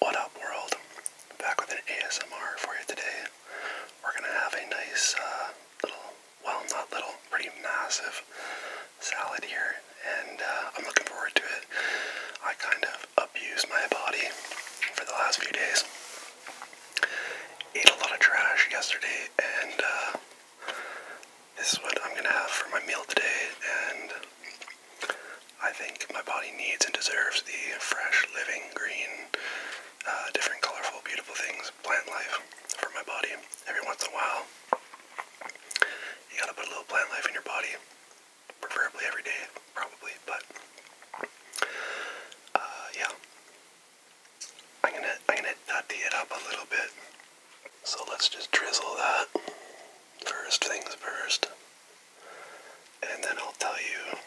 What up, world? Back with an ASMR for you today. We're gonna have a nice uh, little, well, not little, pretty massive salad here, and uh, I'm looking forward to it. I kind of abused my body for the last few days. Ate a lot of trash yesterday, and uh, this is what I'm gonna have for my meal today. And I think my body needs and deserves the fresh, living, green, uh, different, colorful, beautiful things, plant life for my body. Every once in a while, you gotta put a little plant life in your body preferably every day, probably, but uh, yeah. I'm gonna I'm gonna nutty it up a little bit. So let's just drizzle that first things first, and then I'll tell you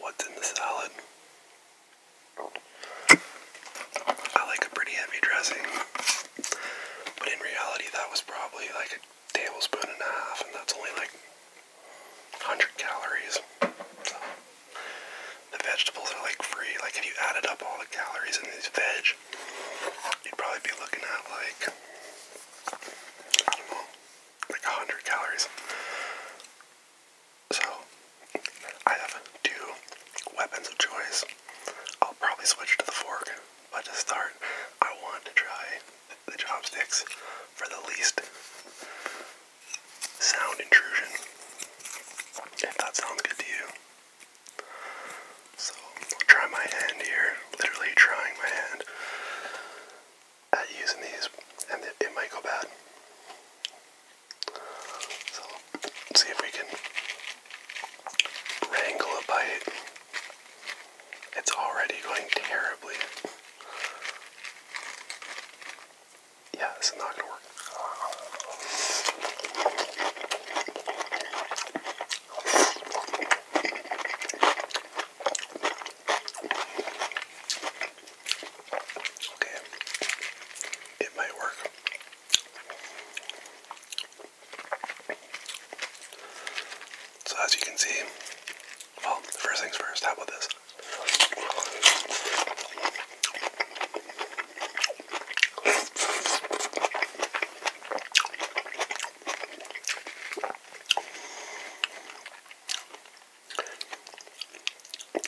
what's in the salad. I like a pretty heavy dressing, but in reality, that was probably like a tablespoon and a half, and that's only like 100 calories. the vegetables are like free. Like, if you added up all the calories in these veg, you'd probably be looking at like, I don't know, like 100 calories. So, I have two weapons of choice. I'll probably switch to the fork, but to start, I want to try the chopsticks for the least sound intrusion. If that sounds good to you. So I'll try my hand here, literally trying my hand at using these, and it, it might go bad. So let's see if we can wrangle a bite. It's already going terribly. Yeah, this is not gonna work. Okay, it might work. So as you can see, well, first things first, how about this?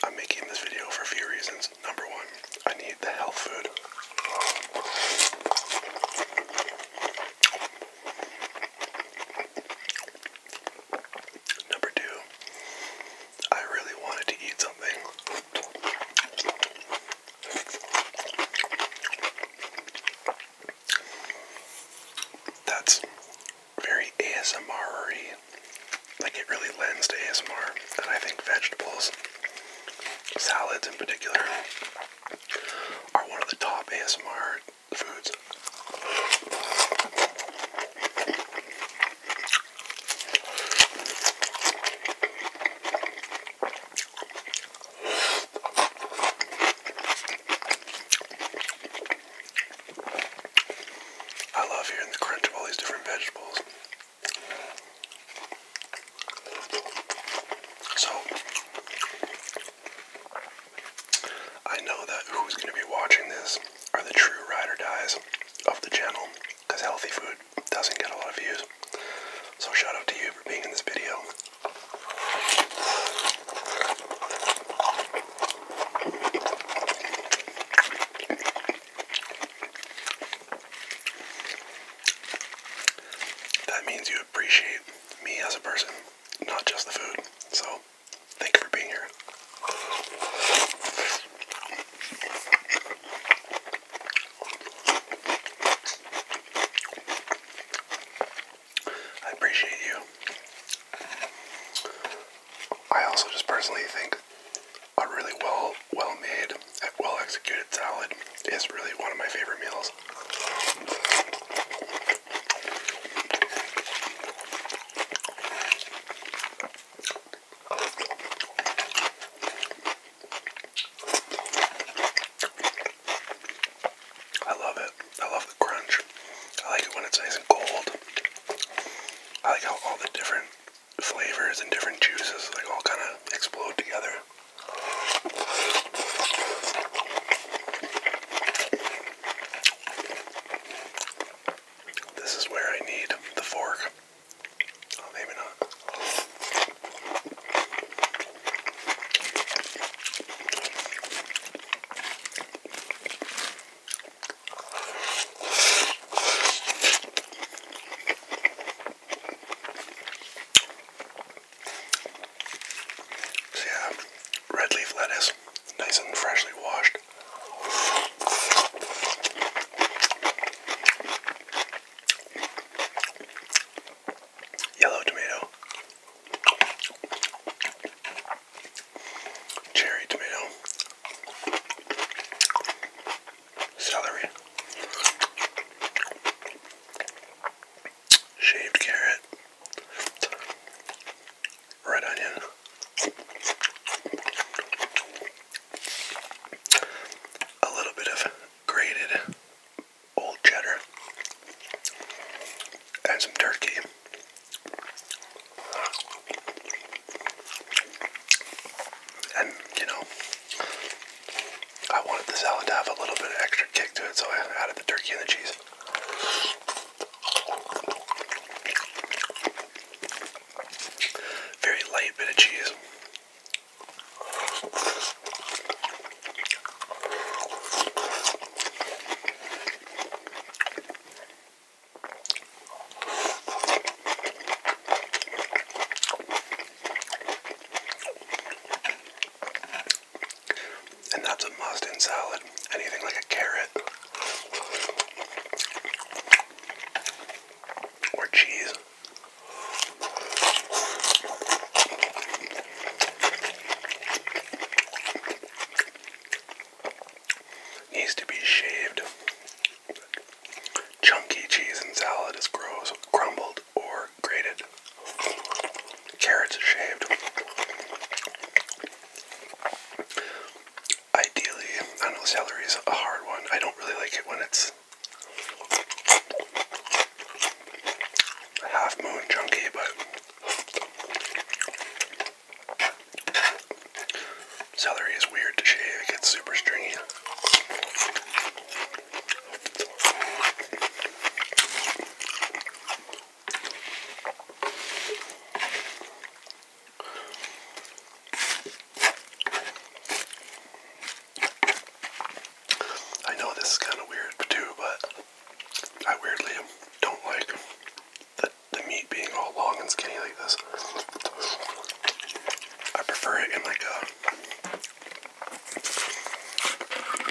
I'm making this video for a few reasons. Number one, I need the health food. Number two, I really wanted to eat something. That's very asmr like it really lends to ASMR, and I think vegetables, salads in particular, are one of the top ASMR foods. I love hearing the crunch of all these different vegetables. So, I know that who's going to be watching this are the true ride or dies of the channel because healthy food doesn't get a lot of views. So, shout out to you for being in this video. That means you appreciate me as a person, not just the food. So, thank you for being here. I appreciate you. I also just personally think a really well well made, well executed salad is really one of my favorite meals. I love it. I love the crunch. I like it when it's nice and cold. I like how all the different flavors and different juices like all kind of explode together. This is where I need the fork. Oh, maybe not. So yeah, red leaf lettuce, nice and freshly washed. Yellow tomato cherry tomato, celery, shaved carrot, red onion, a little bit of grated old cheddar, and some turkey. And, you know, I wanted the salad to have a little bit of extra kick to it, so I added the turkey and the cheese. Very light bit of cheese. And that's a must in salad. Anything like a carrot or cheese needs to be shaved. Chunky cheese and salad is gross, crumbled or grated. Carrots shaved. Ideally, I know celery is a hard one. I don't really like it when it's a half moon junkie, but celery is weird to shave, it gets super stringy. I know this is kind of weird too, but I weirdly don't like the, the meat being all long and skinny like this. I prefer it in like a,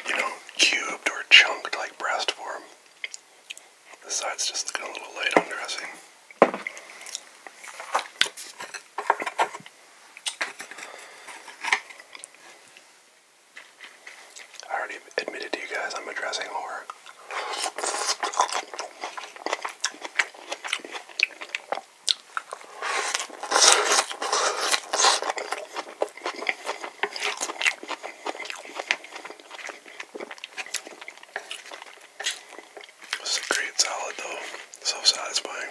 you know, cubed or chunked like breast form. The side's just looking a little light on dressing. I already admitted to you guys I'm addressing horror. This is a great salad though, so satisfying.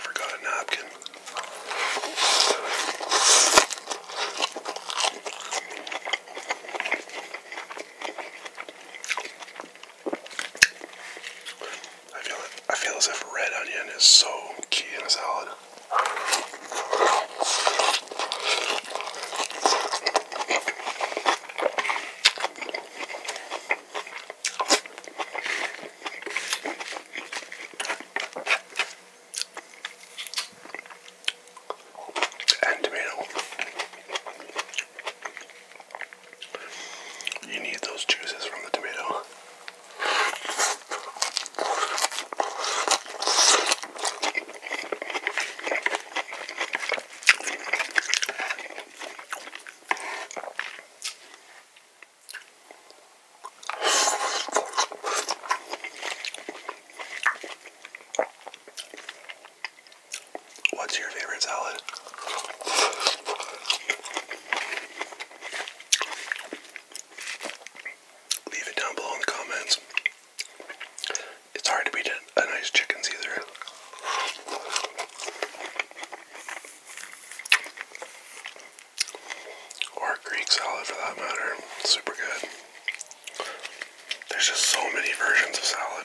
Forgot a napkin. I feel I feel as if red onion is so key in a salad. And tomato. You need those juices from the tomato. What's your favorite salad? Leave it down below in the comments. It's hard to beat a, nice chicken either, Or Greek salad for that matter. Super good. There's just so many versions of salad.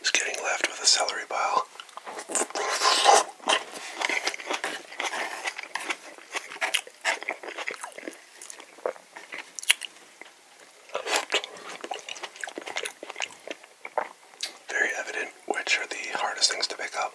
Just getting left with a celery pile. Very evident which are the hardest things to pick up.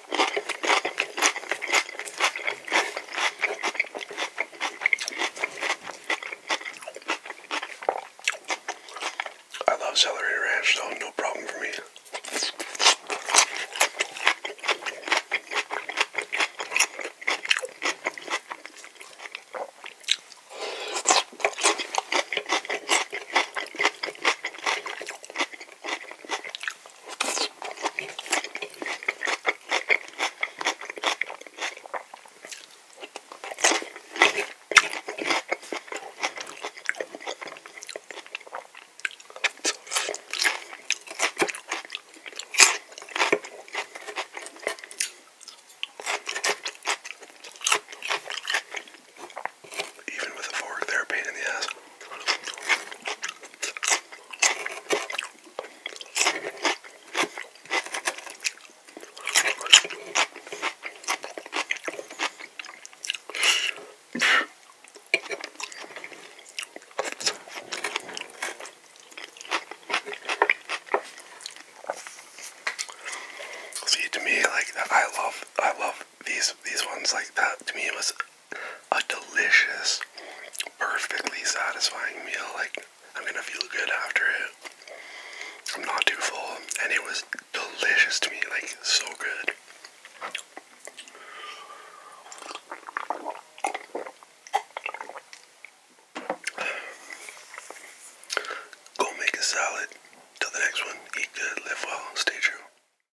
I love celery ranch, so no problem for me. Even with a fork, they're a pain in the ass. See to me like I love I love these these ones like that to me it was a delicious, perfectly satisfying meal. Like, I'm gonna feel good after it. I'm not too full, and it was delicious to me, like, so good. Go make a salad. Till the next one, eat good, live well, stay true.